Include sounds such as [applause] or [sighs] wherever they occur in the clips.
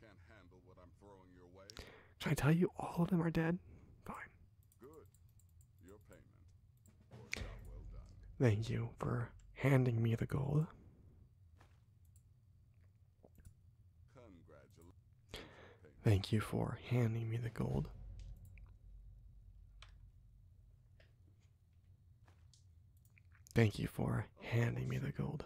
Can't handle what I'm throwing your way. Should I tell you all of them are dead? Fine. Good. Your payment. Well Thank you for handing me the gold. Thank you for handing me the gold. Thank you for handing me the gold.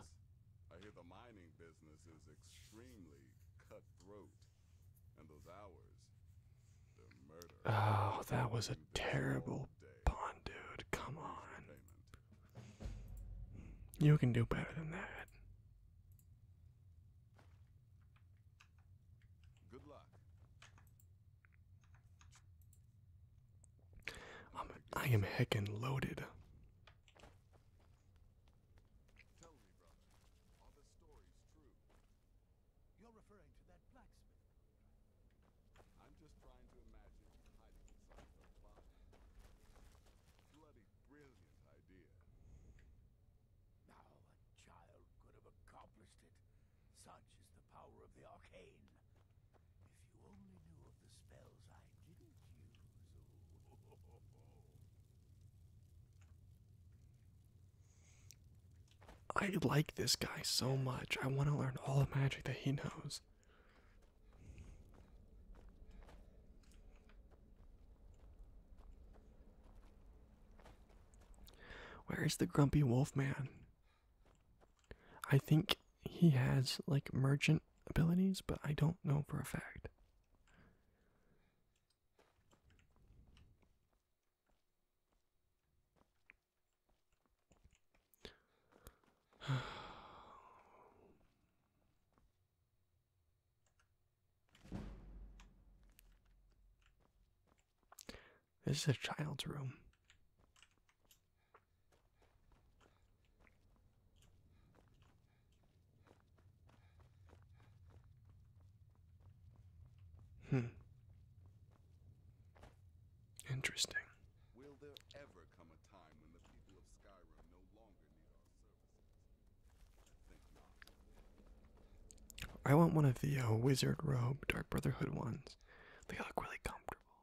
Oh, that was a terrible pawn, dude. Come on. You can do better than that. Good luck. I am heckin' loaded. Tell me, brother, are the stories true? You're referring to that blacksmith I'm just trying to imagine hiding inside the plot. Bloody brilliant idea. Now a child could have accomplished it. Such is the power of the arcane. If you only knew of the spells I didn't use. [laughs] I like this guy so much. I want to learn all the magic that he knows. Where is the grumpy wolf man? I think he has like merchant abilities, but I don't know for a fact. This is a child's room. Hmm. Interesting. I, want one of the uh, wizard robe, dark brotherhood ones. They look really comfortable.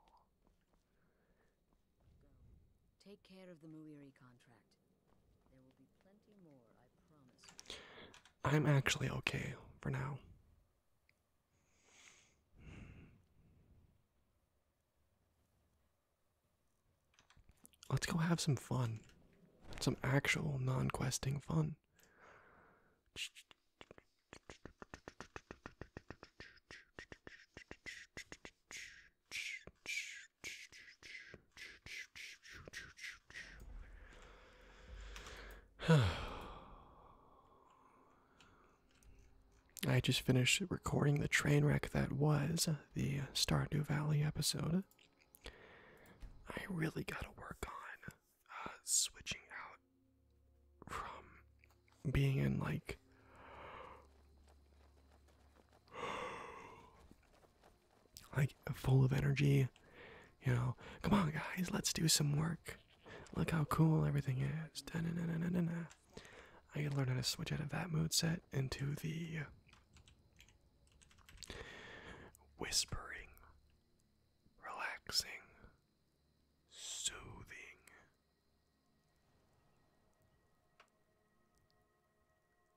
Take care of the Muiri contract. I'm actually okay for now. Let's go have some fun. Some actual non questing fun. [sighs] I just finished recording the train wreck that was the Stardew Valley episode. I really gotta work on uh, switching out from being in like like full of energy. You know, come on, guys, let's do some work. Look how cool everything is. I gotta learn how to switch out of that mood set into the whispering, relaxing, soothing.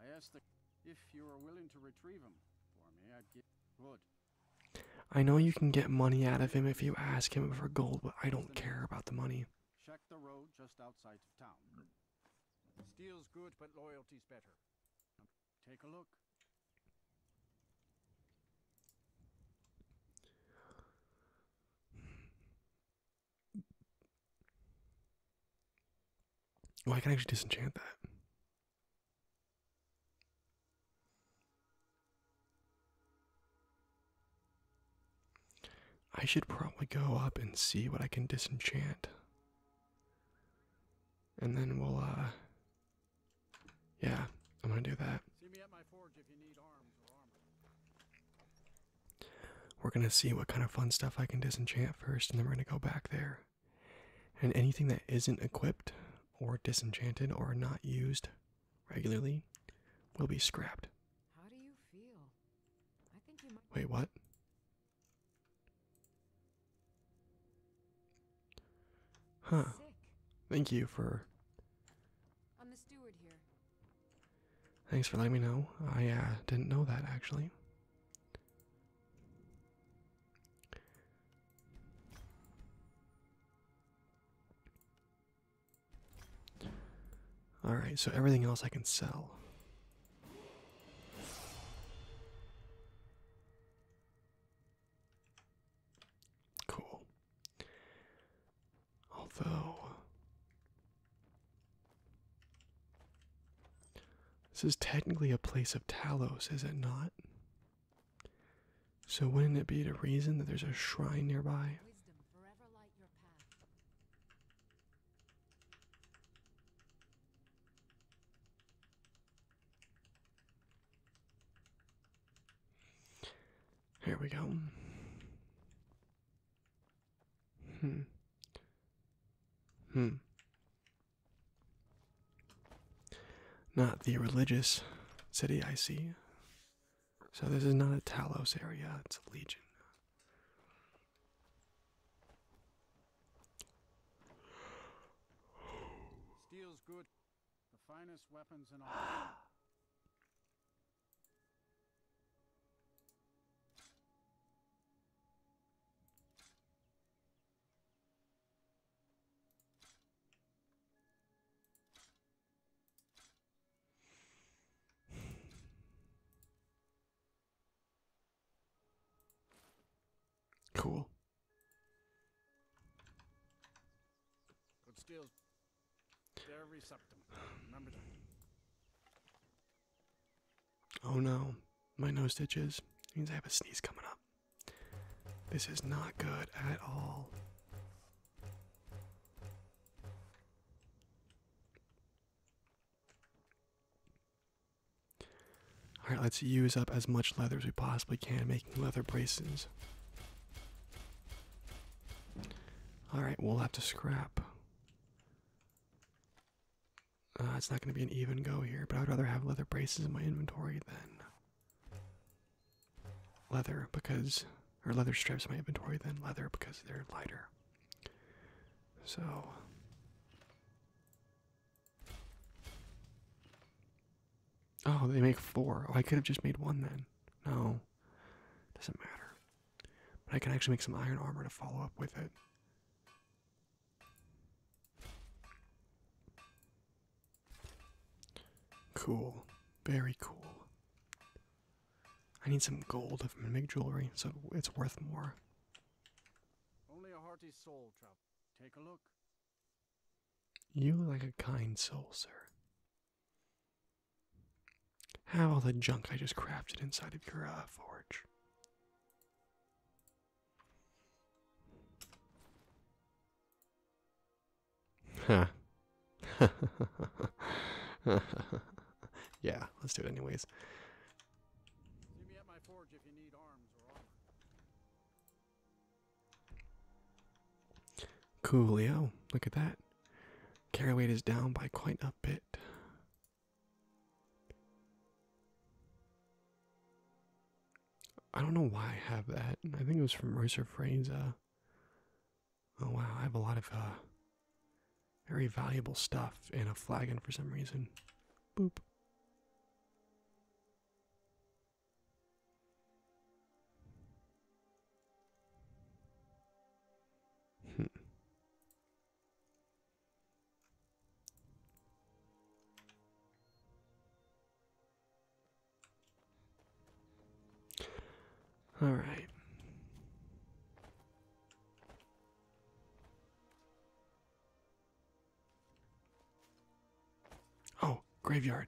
I asked if you are willing to retrieve him for me, I'd give good. I know you can get money out of him if you ask him for gold, but I don't care about the money. Check the road just outside of town. Steel's good, but loyalty's better. Take a look. Oh, I can actually disenchant that. I should probably go up and see what I can disenchant. And then we'll, uh. Yeah, I'm gonna do that. We're gonna see what kind of fun stuff I can disenchant first, and then we're gonna go back there. And anything that isn't equipped or disenchanted or not used regularly will be scrapped. How do you feel? I think you Wait, what? Huh. Thank you for I'm the steward here. Thanks for letting me know. I uh, didn't know that actually. Alright, so everything else I can sell. Cool. Although this is technically a place of Talos, is it not? So wouldn't it be the reason that there's a shrine nearby? Here we go. Hmm. Hmm. Not the religious city I see. So this is not a Talos area, it's a legion. Steel's good. The finest weapons in all. [gasps] [sighs] [sighs] Cool. Good skills. They're receptive. Remember Oh no, my nose stitches. means I have a sneeze coming up. This is not good at all. Alright, let's use up as much leather as we possibly can making leather bracings. Alright, we'll have to scrap. Uh, it's not going to be an even go here, but I'd rather have leather braces in my inventory than leather because, or leather strips in my inventory than leather because they're lighter. So. Oh, they make four. Oh, I could have just made one then. No, doesn't matter. But I can actually make some iron armor to follow up with it. Cool. Very cool. I need some gold if I'm gonna make jewelry, so it's worth more. Only a hearty soul, Trout. Take a look. You like a kind soul, sir. Have all the junk I just crafted inside of your uh, forge. [laughs] yeah, let's do it anyways. Coolio, look at that. weight is down by quite a bit. I don't know why I have that. I think it was from Royster Frane's. oh wow, I have a lot of uh, very valuable stuff in a flagon for some reason. Boop. Hmm. All right. Oh, graveyard.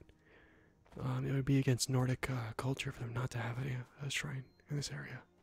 Um, it would be against Nordic uh, culture for them not to have a, a shrine in this area.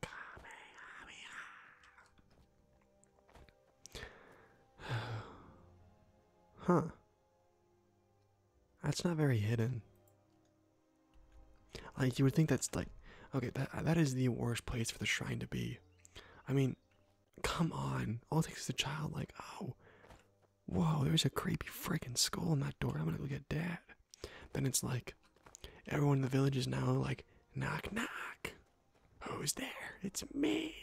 [sighs] huh. That's not very hidden. Like you would think that's like okay, that that is the worst place for the shrine to be. I mean, come on. All it takes is a child like, oh, whoa, there's a creepy freaking skull in that door. I'm gonna go get dad. Then it's like everyone in the village is now like, knock, knock. Who's there? It's me.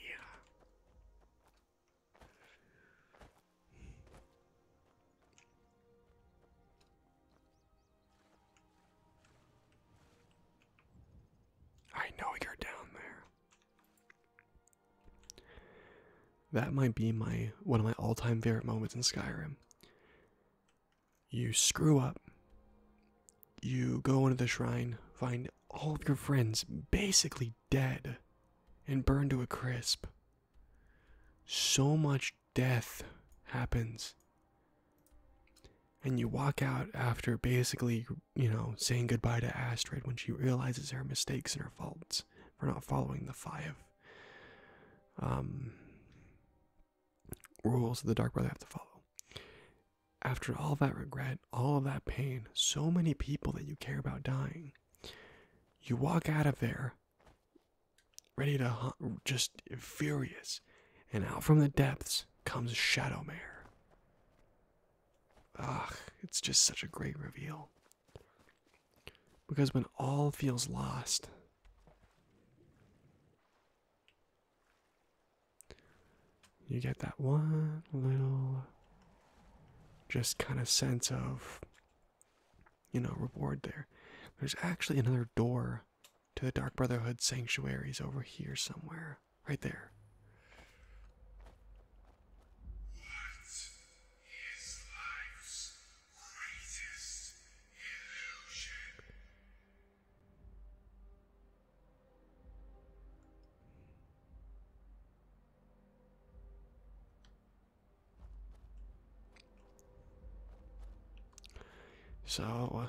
I know you're down there. That might be my one of my all-time favorite moments in Skyrim. You screw up. You go into the shrine, find all of your friends basically dead and burned to a crisp. So much death happens. And you walk out after basically, you know, saying goodbye to Astrid when she realizes her mistakes and her faults for not following the five. Um, rules that the Dark Brother have to follow. After all that regret, all of that pain, so many people that you care about dying, you walk out of there ready to just furious, and out from the depths comes Shadow Mare. Ugh, it's just such a great reveal. Because when all feels lost, you get that one little just kind of sense of, you know, reward there. There's actually another door to the Dark Brotherhood sanctuaries over here somewhere. Right there. So, uh,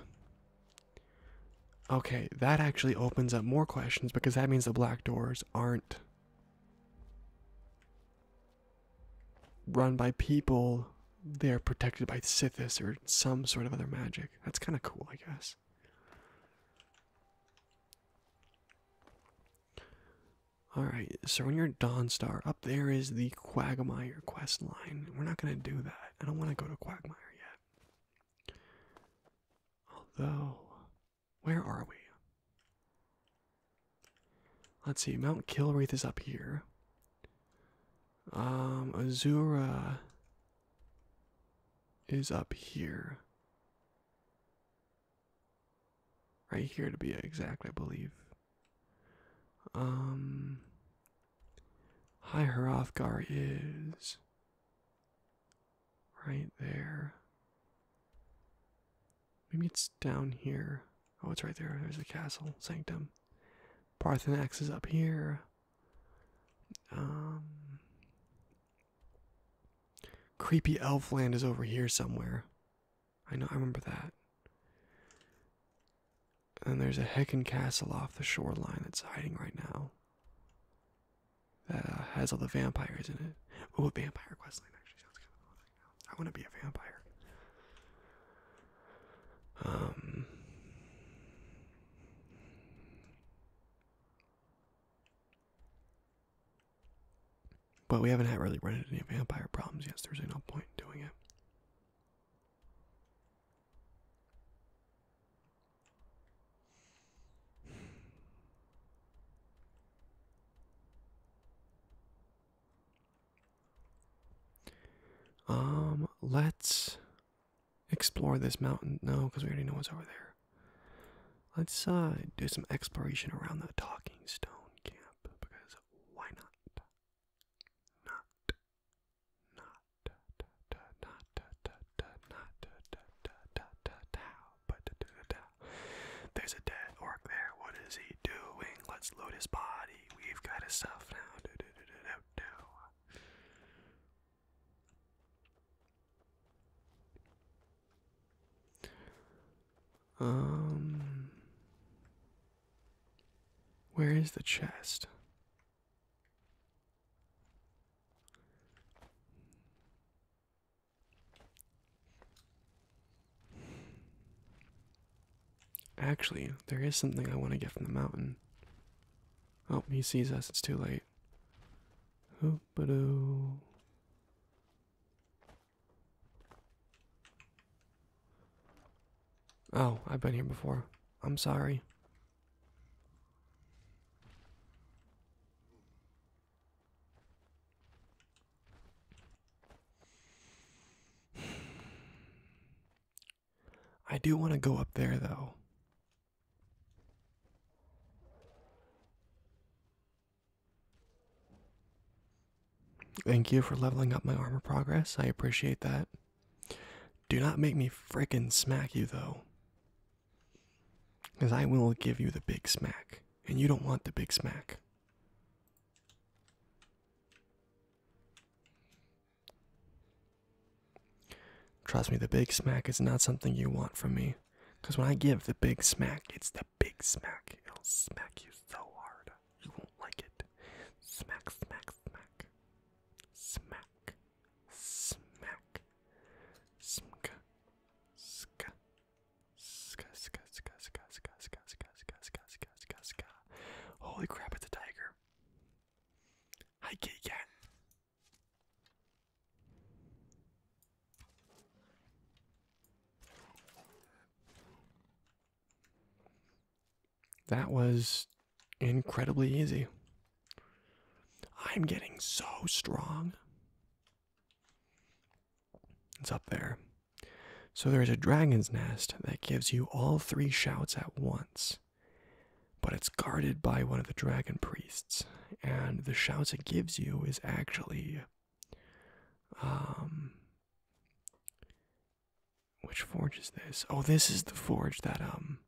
okay, that actually opens up more questions because that means the black doors aren't run by people, they're protected by Sithis or some sort of other magic. That's kind of cool, I guess. Alright, so when you're Dawnstar, up there is the Quagmire quest line. We're not going to do that. I don't want to go to Quagmire yet. Although, where are we? Let's see, Mount Kilraith is up here. Um, Azura is up here. Right here to be exact, I believe. Um, High Hrothgar is right there. Maybe it's down here. Oh, it's right there. There's the castle, sanctum. Parthenax is up here. Um, creepy elf land is over here somewhere. I know, I remember that. And there's a Hecken castle off the shoreline that's hiding right now. That uh, has all the vampires in it. Oh, a vampire questline actually sounds kind of fun. I want to be a vampire. Um. But we haven't had really run into any vampire problems yet, there's no point in doing it. Um, let's explore this mountain. No, because we already know what's over there. Let's do some exploration around the Talking Stone camp because why not? Not, not, but there's a dead orc there. What is he doing? Let's loot his body. We've got a self now. Um, where is the chest? Actually, there is something I want to get from the mountain. Oh, he sees us. It's too late. Oh, I've been here before. I'm sorry. I do want to go up there though. Thank you for leveling up my armor progress. I appreciate that. Do not make me fricking smack you though. Because I will give you the big smack. And you don't want the big smack. Trust me, the big smack is not something you want from me. Because when I give the big smack, it's the big smack. It'll smack you so hard. You won't like it. Smack, smack, smack. Smack. Smack. Smka. Ska. Ska, ska, ska, ska, ska, ska, ska, ska, ska, ska, ska. Holy crap, it's a tiger here. Hi, kitty That was incredibly easy. I'm getting so strong. It's up there. So there is a dragon's nest that gives you all three shouts at once, but it's guarded by one of the dragon priests, and the shouts it gives you is actually. Um, which forge is this? Oh, this is the forge that, um.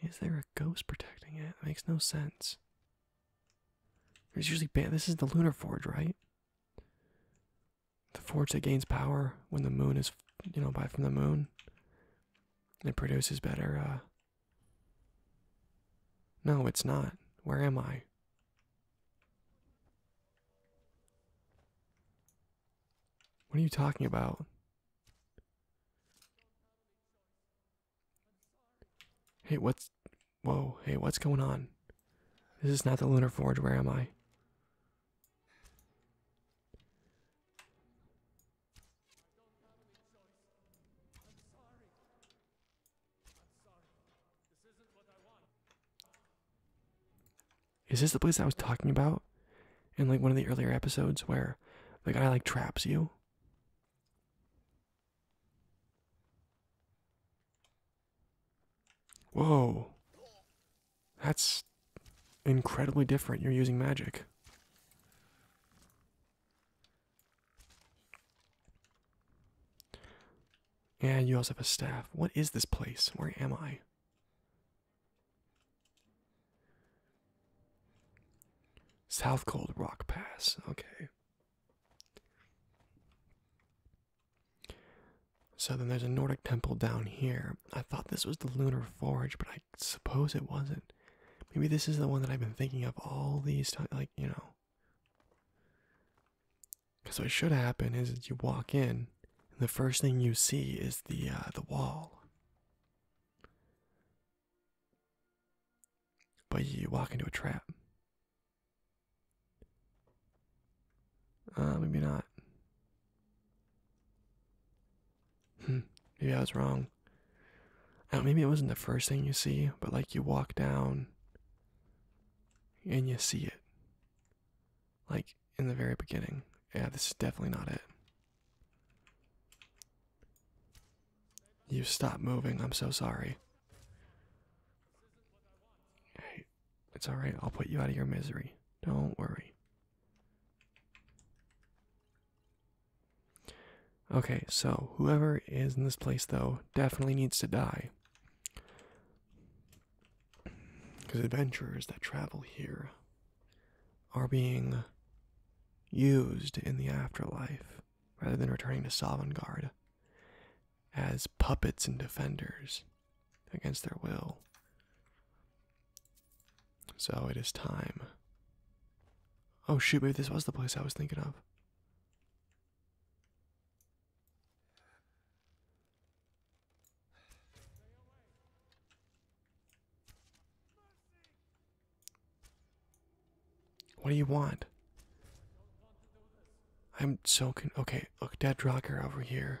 Is there a ghost protecting it? It makes no sense. There's usually. Ba this is the Lunar Forge, right? the forge that gains power when the moon is, you know, by from the moon. It produces better, uh. No, it's not. Where am I? What are you talking about? Hey, what's. Whoa, hey, what's going on? This is not the Lunar Forge. Where am I? Is this the place I was talking about in like one of the earlier episodes where the guy like traps you? Whoa. That's incredibly different. You're using magic. And you also have a staff. What is this place? Where am I? South Cold Rock Pass. Okay. So then there's a Nordic temple down here. I thought this was the Lunar Forge, but I suppose it wasn't. Maybe this is the one that I've been thinking of all these times, like, you know. Because what should happen is you walk in, and the first thing you see is the uh, the wall. But you walk into a trap. Uh, maybe not. Hmm, maybe I was wrong. maybe it wasn't the first thing you see, but like you walk down and you see it. Like in the very beginning. Yeah, this is definitely not it. You stop moving. I'm so sorry. Hey, it's alright. I'll put you out of your misery. Don't worry. Okay, so whoever is in this place, though, definitely needs to die. Because adventurers that travel here are being used in the afterlife rather than returning to Sovngarde as puppets and defenders against their will. So it is time. Oh shoot, maybe this was the place I was thinking of. What do you want? I'm so okay, look, Dead Rocker over here.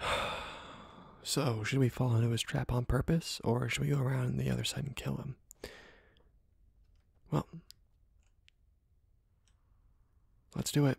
[sighs] So, should we fall into his trap on purpose, or should we go around the other side and kill him? Well, let's do it.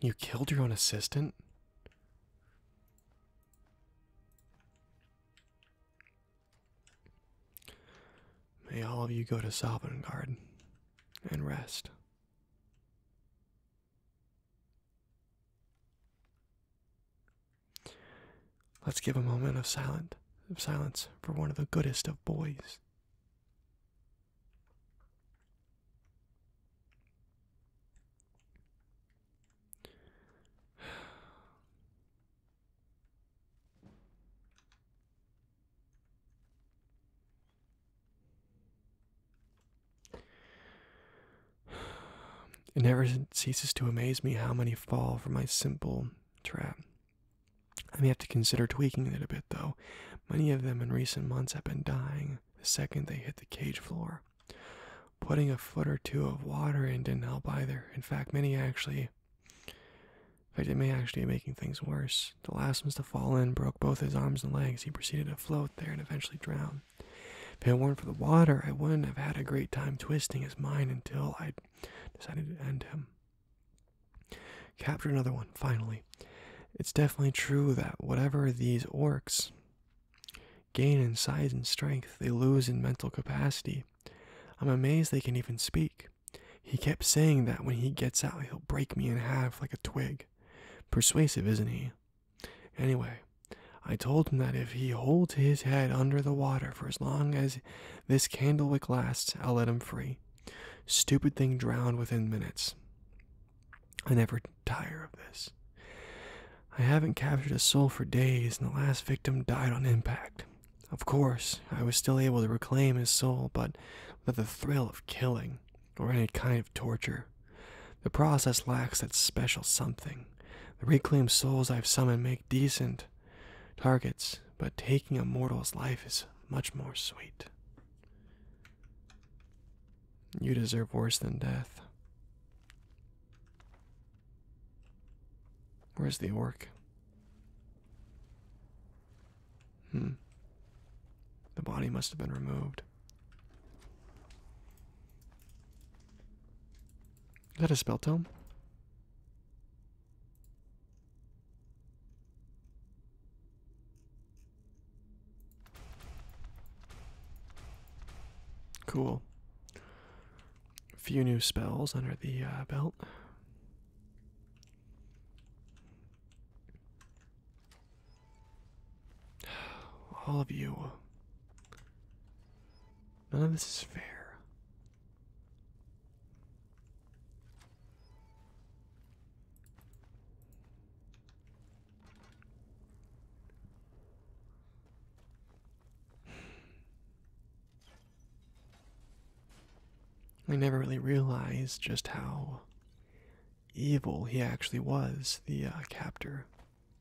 You killed your own assistant? May all of you go to Sovngarde and rest. Let's give a moment of silent silence for one of the goodest of boys. It never ceases to amaze me how many fall for my simple trap. I may have to consider tweaking it a bit, though. Many of them in recent months have been dying the second they hit the cage floor. Putting a foot or two of water in didn't help either. In fact, many actually. In fact, it may actually be making things worse. The last ones to fall in broke both his arms and legs. He proceeded to float there and eventually drowned. If it weren't for the water, I wouldn't have had a great time twisting his mind until I decided to end him. Capture another one, finally. It's definitely true that whatever these orcs gain in size and strength, they lose in mental capacity. I'm amazed they can even speak. He kept saying that when he gets out, he'll break me in half like a twig. Persuasive, isn't he? Anyway, I told him that if he holds his head under the water for as long as this candlewick lasts, I'll let him free. Stupid thing drowned within minutes. I never tire of this. I haven't captured a soul for days, and the last victim died on impact. Of course, I was still able to reclaim his soul, but without the thrill of killing or any kind of torture. The process lacks that special something. The reclaimed souls I've summoned make decent targets, but taking a mortal's life is much more sweet. You deserve worse than death. Where's the orc? Hmm. The body must have been removed. Is that a spell tome? Cool. A few new spells under the uh, belt. [sighs] All of you. None of this is fair. I never really realized just how evil he actually was, the uh, captor.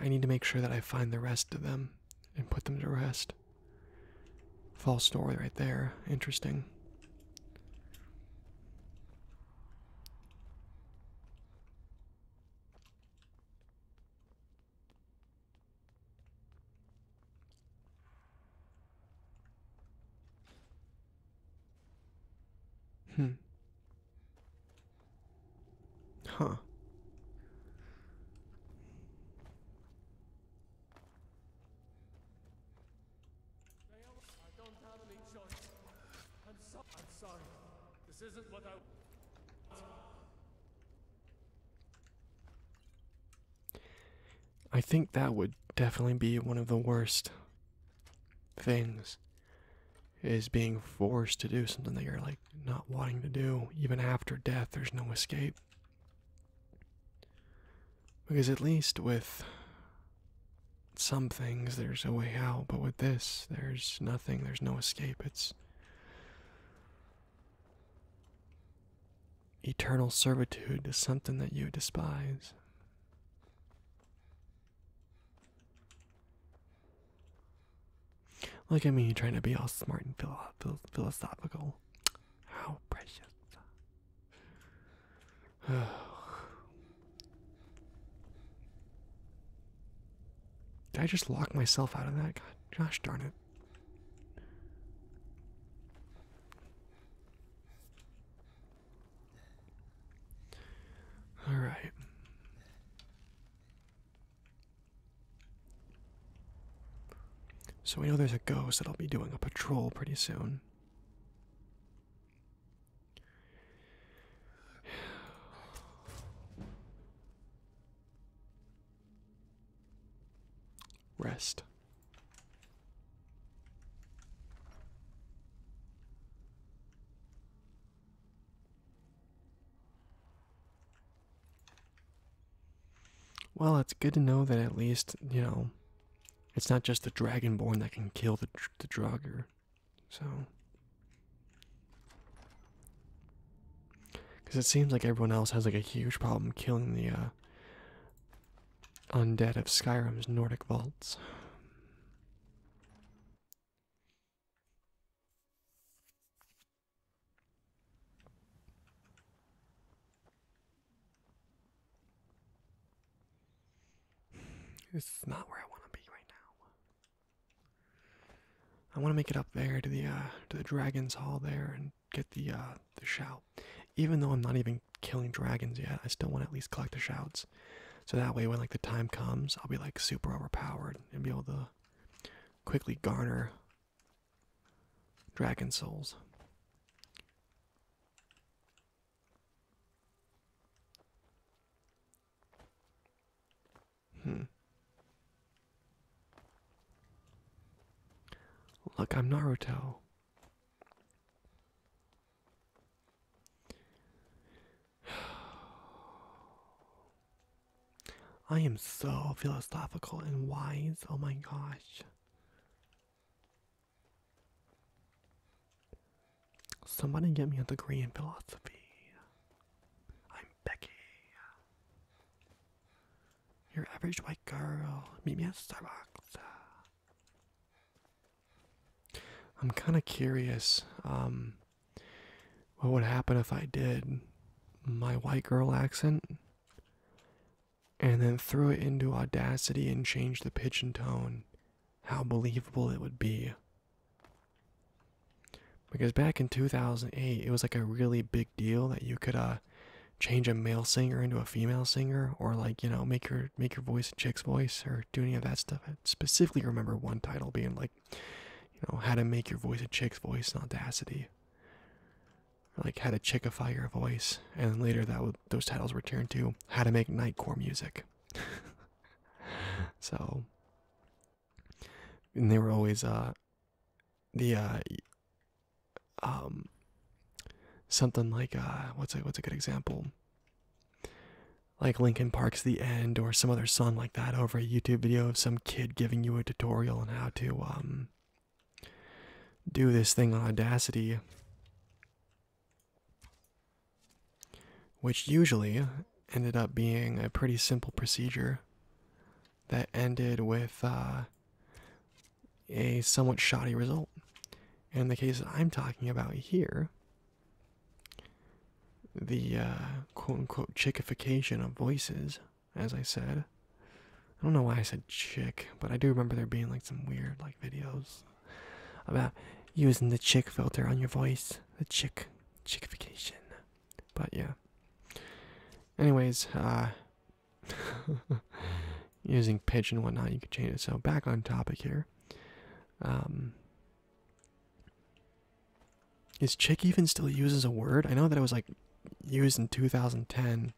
I need to make sure that I find the rest of them and put them to rest. False story right there. Interesting. Hmm. Huh. I think that would definitely be one of the worst things is being forced to do something that you're like not wanting to do even after death there's no escape because at least with some things there's a way out but with this there's nothing there's no escape it's eternal servitude Is something that you despise Look at me trying to be all smart and philosophical. How precious. [sighs] Did I just lock myself out of that? God, gosh darn it. All right. So we know there's a ghost that'll be doing a patrol pretty soon. Rest. Well, it's good to know that at least, you know, it's not just the Dragonborn that can kill the, the Draugr. So. Because it seems like everyone else has like a huge problem killing the uh, undead of Skyrim's Nordic vaults. This is not where I want to be right now. I want to make it up there to the uh, to the dragons hall there and get the uh, the shout. Even though I'm not even killing dragons yet, I still want to at least collect the shouts. So that way when like the time comes, I'll be like super overpowered and be able to quickly garner dragon souls. Hmm. Look, I'm Naruto. I am so philosophical and wise. Oh my gosh. Somebody get me a degree in philosophy. I'm Becky. Your average white girl. Meet me at Starbucks. I'm kind of curious um, what would happen if I did my white girl accent and then threw it into Audacity and changed the pitch and tone. How believable it would be. Because back in 2008, it was like a really big deal that you could uh, change a male singer into a female singer or, like, you know, make your make your voice a chick's voice or do any of that stuff. specifically remember one title being like, you know, how to make your voice a chick's voice in Audacity. like how to chickify your voice. And then later that those titles were turned to how to make nightcore music. [laughs] so and they were always uh the uh um something like uh what's a what's a good example like Linkin Park's The End or some other song like that over a YouTube video of some kid giving you a tutorial on how to um, do this thing on Audacity. Which usually ended up being a pretty simple procedure that ended with uh, a somewhat shoddy result. And the case that I'm talking about here the uh, quote unquote chickification of voices, as I said. I don't know why I said chick, but I do remember there being like some weird like videos about using the chick filter on your voice, the chick chickification. But yeah. Anyways, uh [laughs] using pitch and whatnot, you can change it. So back on topic here. Um is chick even still uses a word? I know that it was like used in 2010,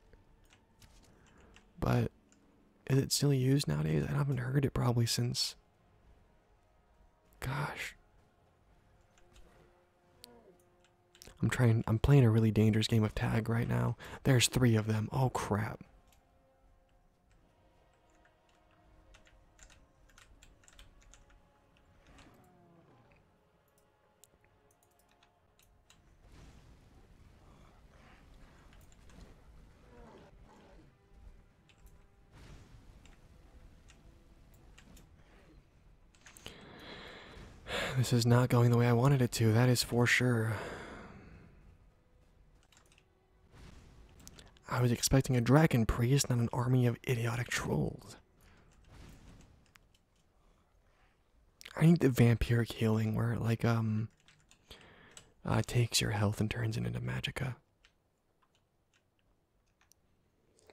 but is it still used nowadays? I haven't heard it probably since. Gosh. I'm trying, I'm playing a really dangerous game of tag right now. There's three of them. Oh crap. This is not going the way I wanted it to, that is for sure. I was expecting a dragon priest, not an army of idiotic trolls. I need the vampiric healing where like um uh, takes your health and turns it into magica.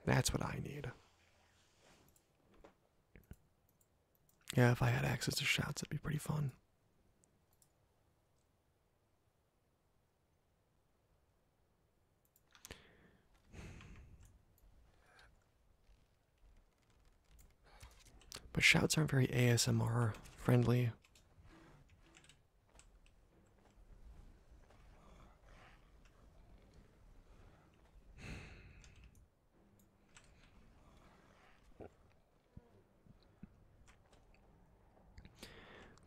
That's what I need. Yeah, if I had access to shots, that'd be pretty fun. But shouts aren't very ASMR friendly.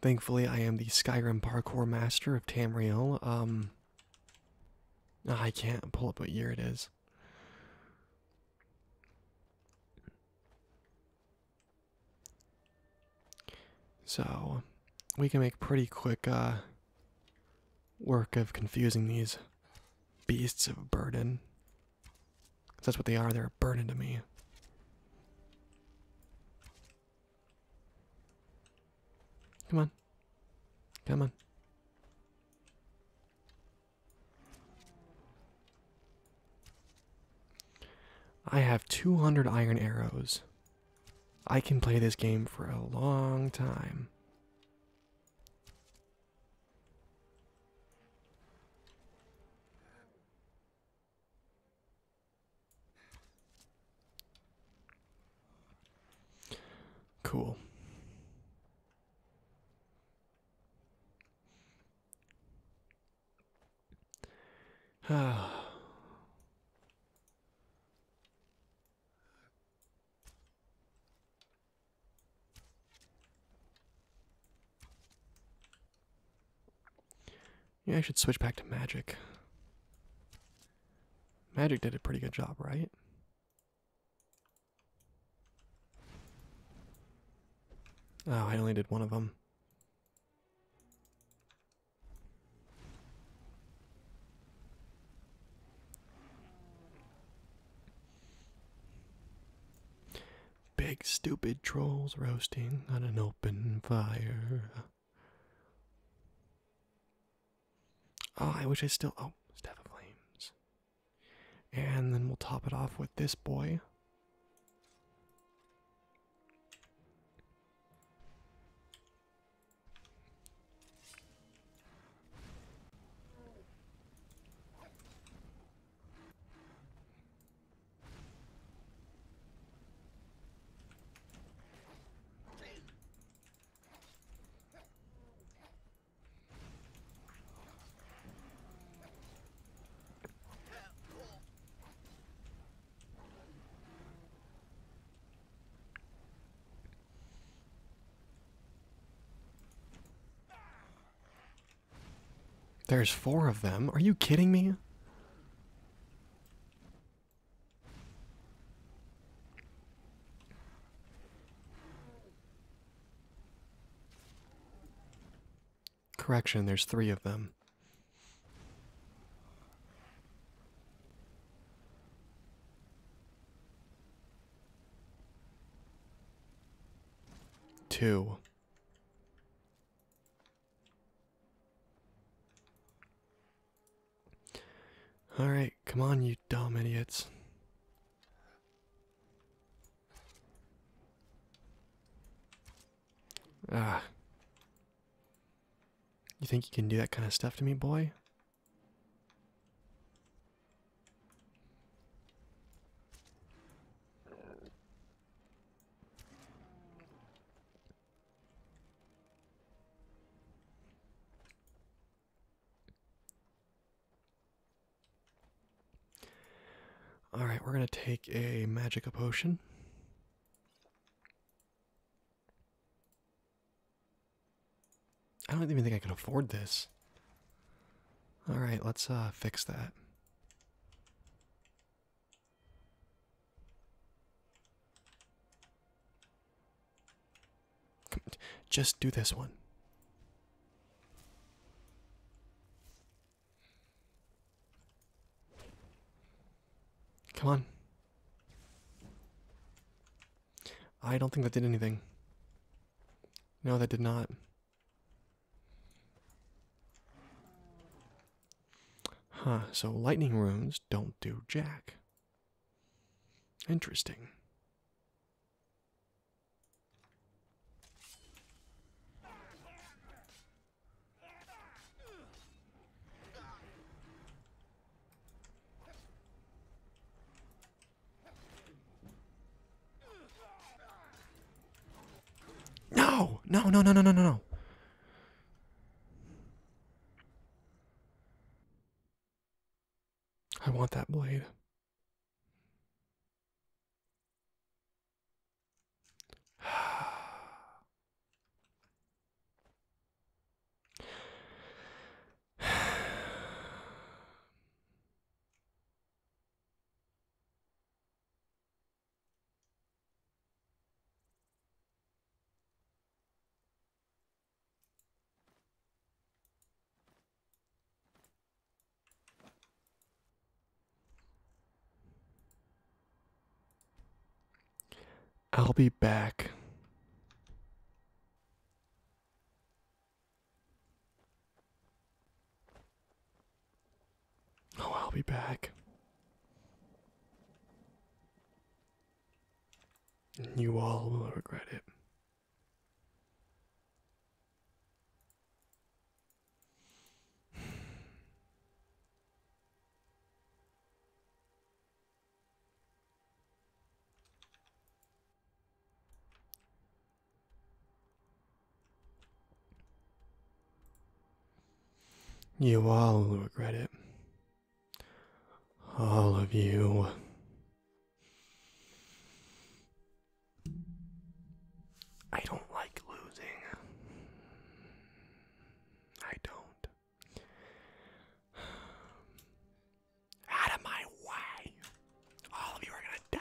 Thankfully, I am the Skyrim parkour master of Tamriel. Um, ah, I can't pull up what year it is. So, we can make pretty quick uh, work of confusing these beasts of burden. That's what they are, they're a burden to me. Come on. Come on. I have 200 iron arrows. I can play this game for a long time. Cool. Ah. [sighs] Yeah, I should switch back to magic. Magic did a pretty good job, right? Oh, I only did one of them. Big stupid trolls roasting on an open fire. Oh, I wish I still. Oh, Staff Flames. And then we'll top it off with this boy. There's four of them. Are you kidding me? Correction, there's three of them. Two. Alright, come on, you dumb idiots. Ah. You think you can do that kind of stuff to me, boy? All right, we're going to take a magic potion. I don't even think I can afford this. All right, let's uh, fix that. Just do this one. Come on. I don't think that did anything. No, that did not. Huh, so lightning runes don't do jack. Interesting. No, no, no, no, no, no, no. I want that blade. I'll be back. Oh, I'll be back. You all will regret it. You all will regret it. All of you. I don't like losing. I don't. [sighs] Out of my way. All of you are going to die.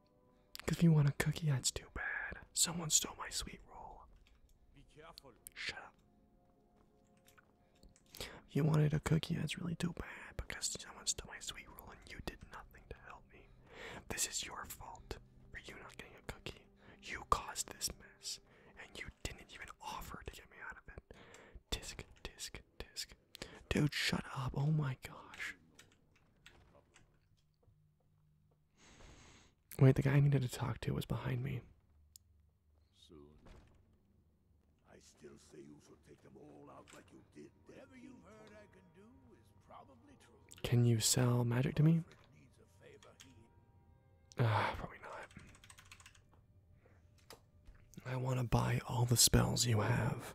Cause if you want a cookie, that's too bad. Someone stole my sweet roll. Be careful. Shut up. You wanted a cookie, that's really too bad because someone stole my sweet roll and you did nothing to help me. This is your fault for you not getting a cookie. You caused this mess and you didn't even offer to get me out of it. Disk, disk, disk. Dude, shut up. Oh my gosh. Wait, the guy I needed to talk to was behind me. can you sell magic to me? Ah, probably not. I want to buy all the spells you have.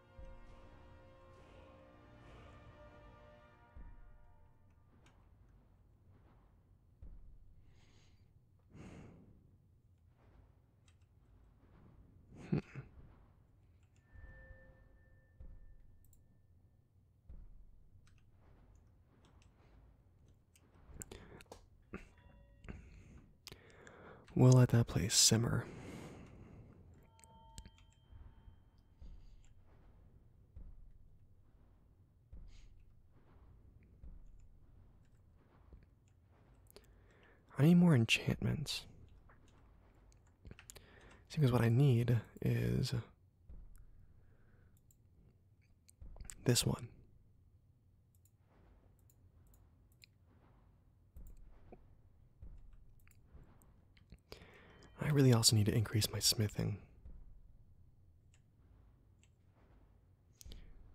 We'll let that place simmer. I need more enchantments. Seems what I need is this one. I really also need to increase my smithing.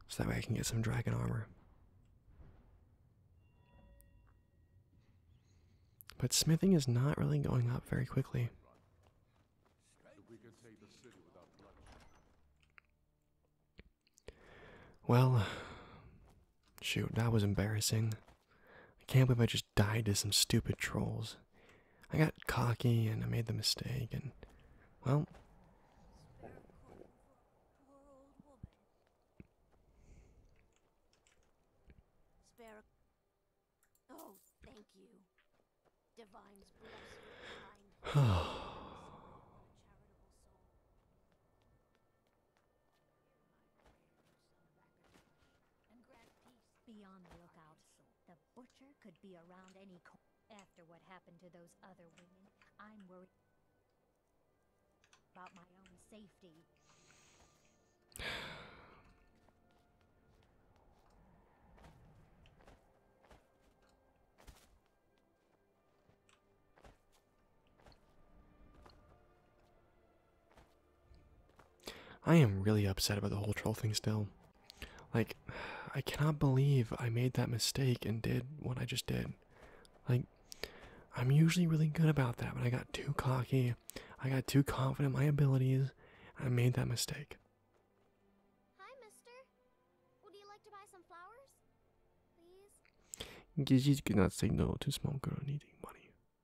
So that way I can get some dragon armor. But smithing is not really going up very quickly. Well, Shoot, that was embarrassing. I can't believe I just died to some stupid trolls. I got cocky and I made the mistake, and well. [sighs] Be on the lookout. The butcher could be around any After what happened to those other women, I'm worried about my own safety. I am really upset about the whole troll thing still. Like, I cannot believe I made that mistake and did what I just did. Like, I'm usually really good about that, but I got too cocky. I got too confident my abilities. I made that mistake. Gigi could say no to small girl needing money.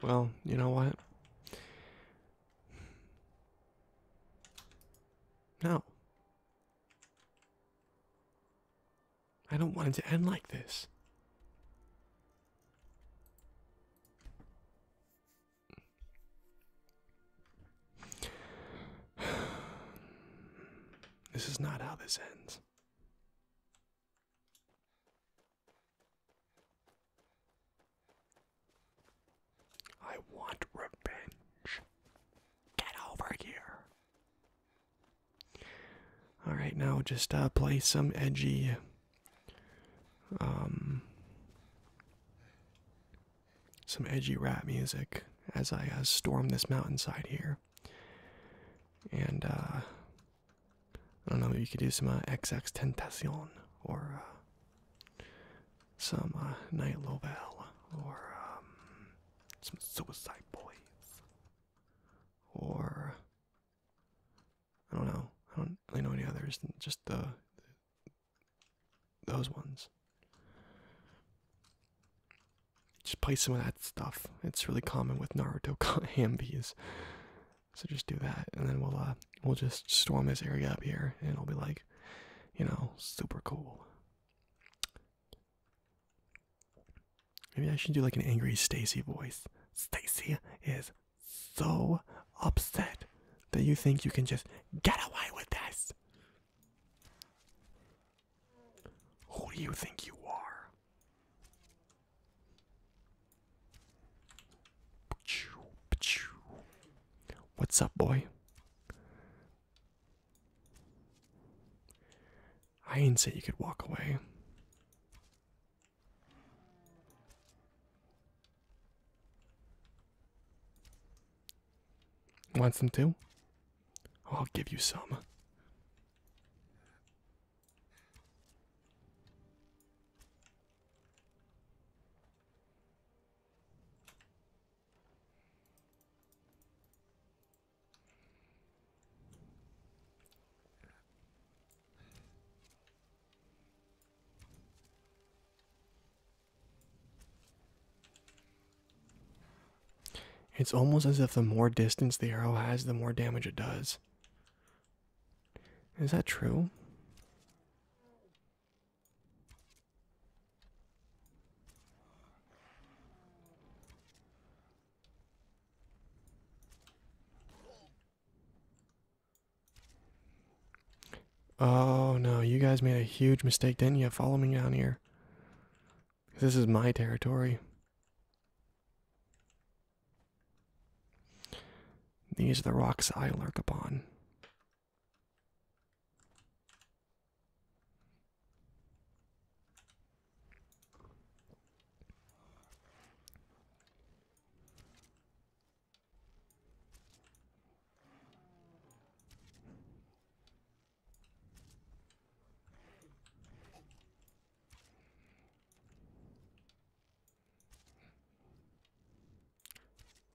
Well, you know what? No. I don't want it to end like this. This is not how this ends. I want revenge. Get over here. All right, now just uh, play some edgy um some edgy rap music as I uh, storm this mountainside here. And uh, I don't know, maybe you could do some XX uh, Tentacion or uh, some uh, Night Lovell or um, some Suicide Boys or I don't know. I don't really know any others than just the those ones. Just play some of that stuff. It's really common with Naruto Hambies. [laughs] So just do that, and then we'll uh, we'll just storm this area up here, and it'll be like, you know, super cool. Maybe I should do like an angry Stacy voice. Stacy is so upset that you think you can just get away with this. Who do you think you are? What's up, boy? I ain't say you could walk away. Wants some too? Oh, I'll give you some. It's almost as if the more distance the arrow has, the more damage it does. Is that true? Oh no, you guys made a huge mistake, didn't you? Follow me down here. This is my territory. These are the rocks I lurk upon.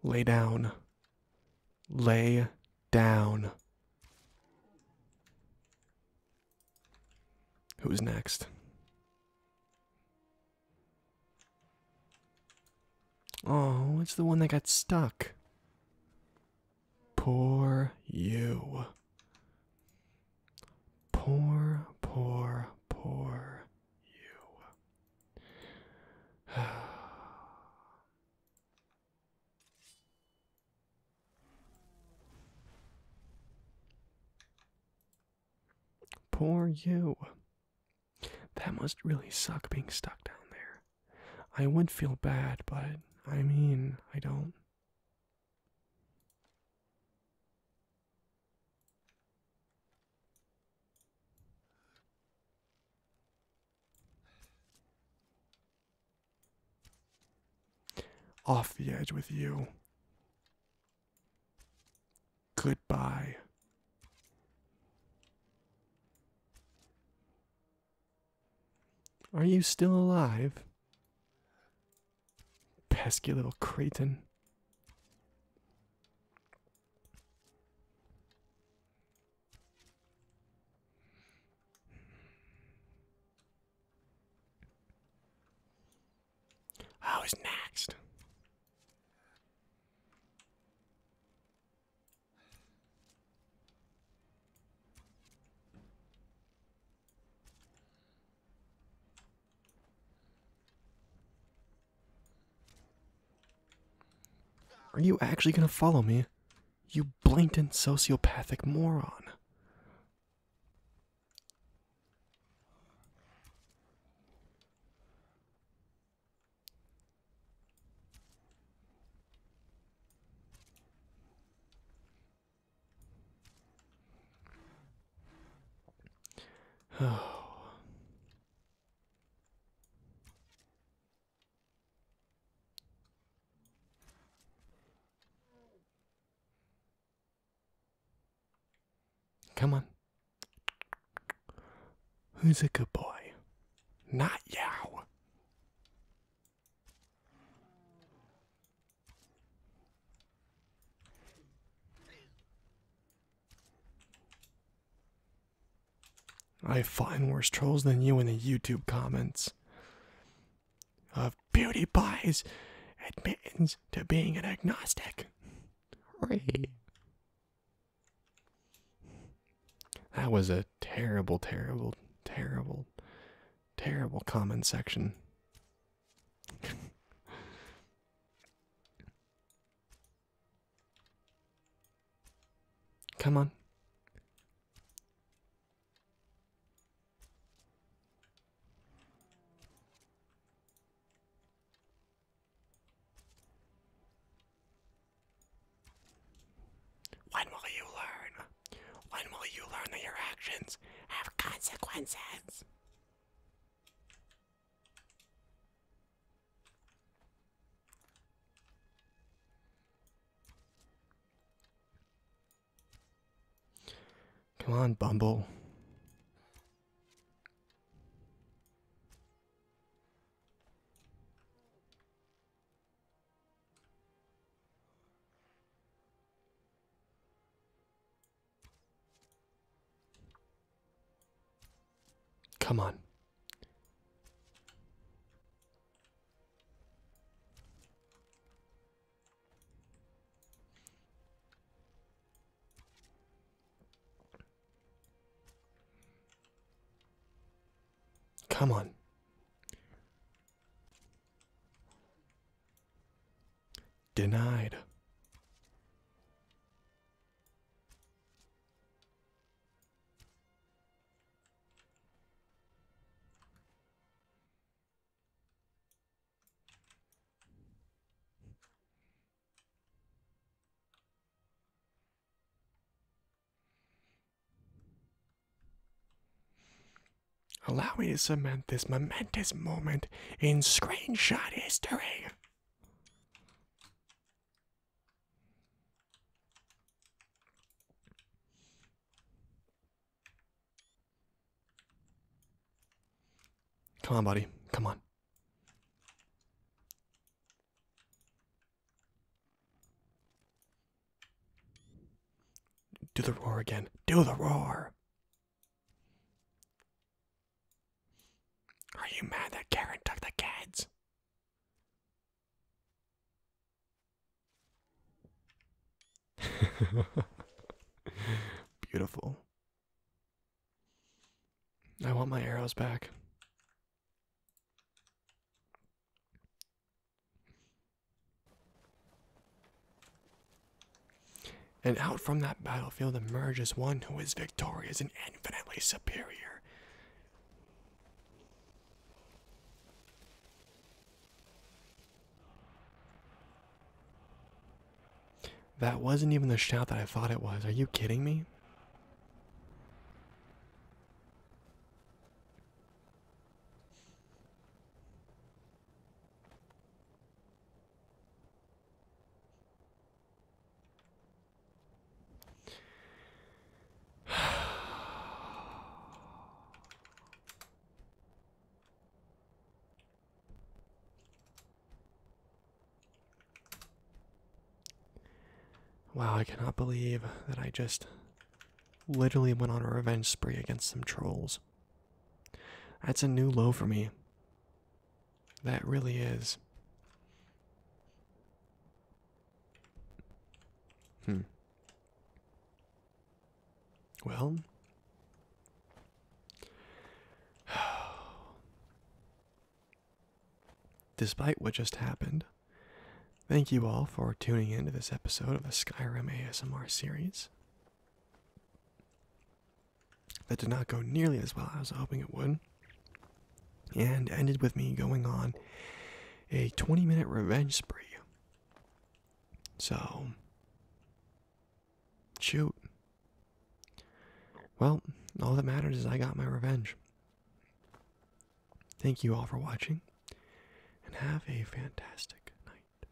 Lay down. Lay down. Who's next? Oh, it's the one that got stuck. Poor you. Poor, poor, poor you. [sighs] poor you. That must really suck being stuck down there. I would feel bad, but I mean, I don't. Off the edge with you. Goodbye. Are you still alive? Pesky little cretin. I next. Are you actually gonna follow me? You blatant sociopathic moron. [sighs] Come on. Who's a good boy? Not you. I find worse trolls than you in the YouTube comments of beauty pies admits to being an agnostic. That was a terrible, terrible, terrible, Terrible comment section. Come on. When will you learn? When will you learn that your actions have consequences? Come on, Bumble. Come on. Come on. Denied. Allow me to cement this momentous moment in screenshot history. Come on, buddy. Come on. Do the roar again. Do the roar. Are you mad that Karen took the kids? [laughs] Beautiful. I want my arrows back. And out from that battlefield emerges one who is victorious and infinitely superior. That wasn't even the shout that I thought it was. Are you kidding me? Wow, I cannot believe that I just literally went on a revenge spree against some trolls. That's a new low for me. That really is. Hmm. Well, [sighs] despite what just happened, thank you all for tuning in to this episode of the Skyrim ASMR series. That did not go nearly as well as I was hoping it would, and ended with me going on a 20 minute revenge spree. So, shoot. Well, all that matters is I got my revenge. Thank you all for watching, and have a fantastic night.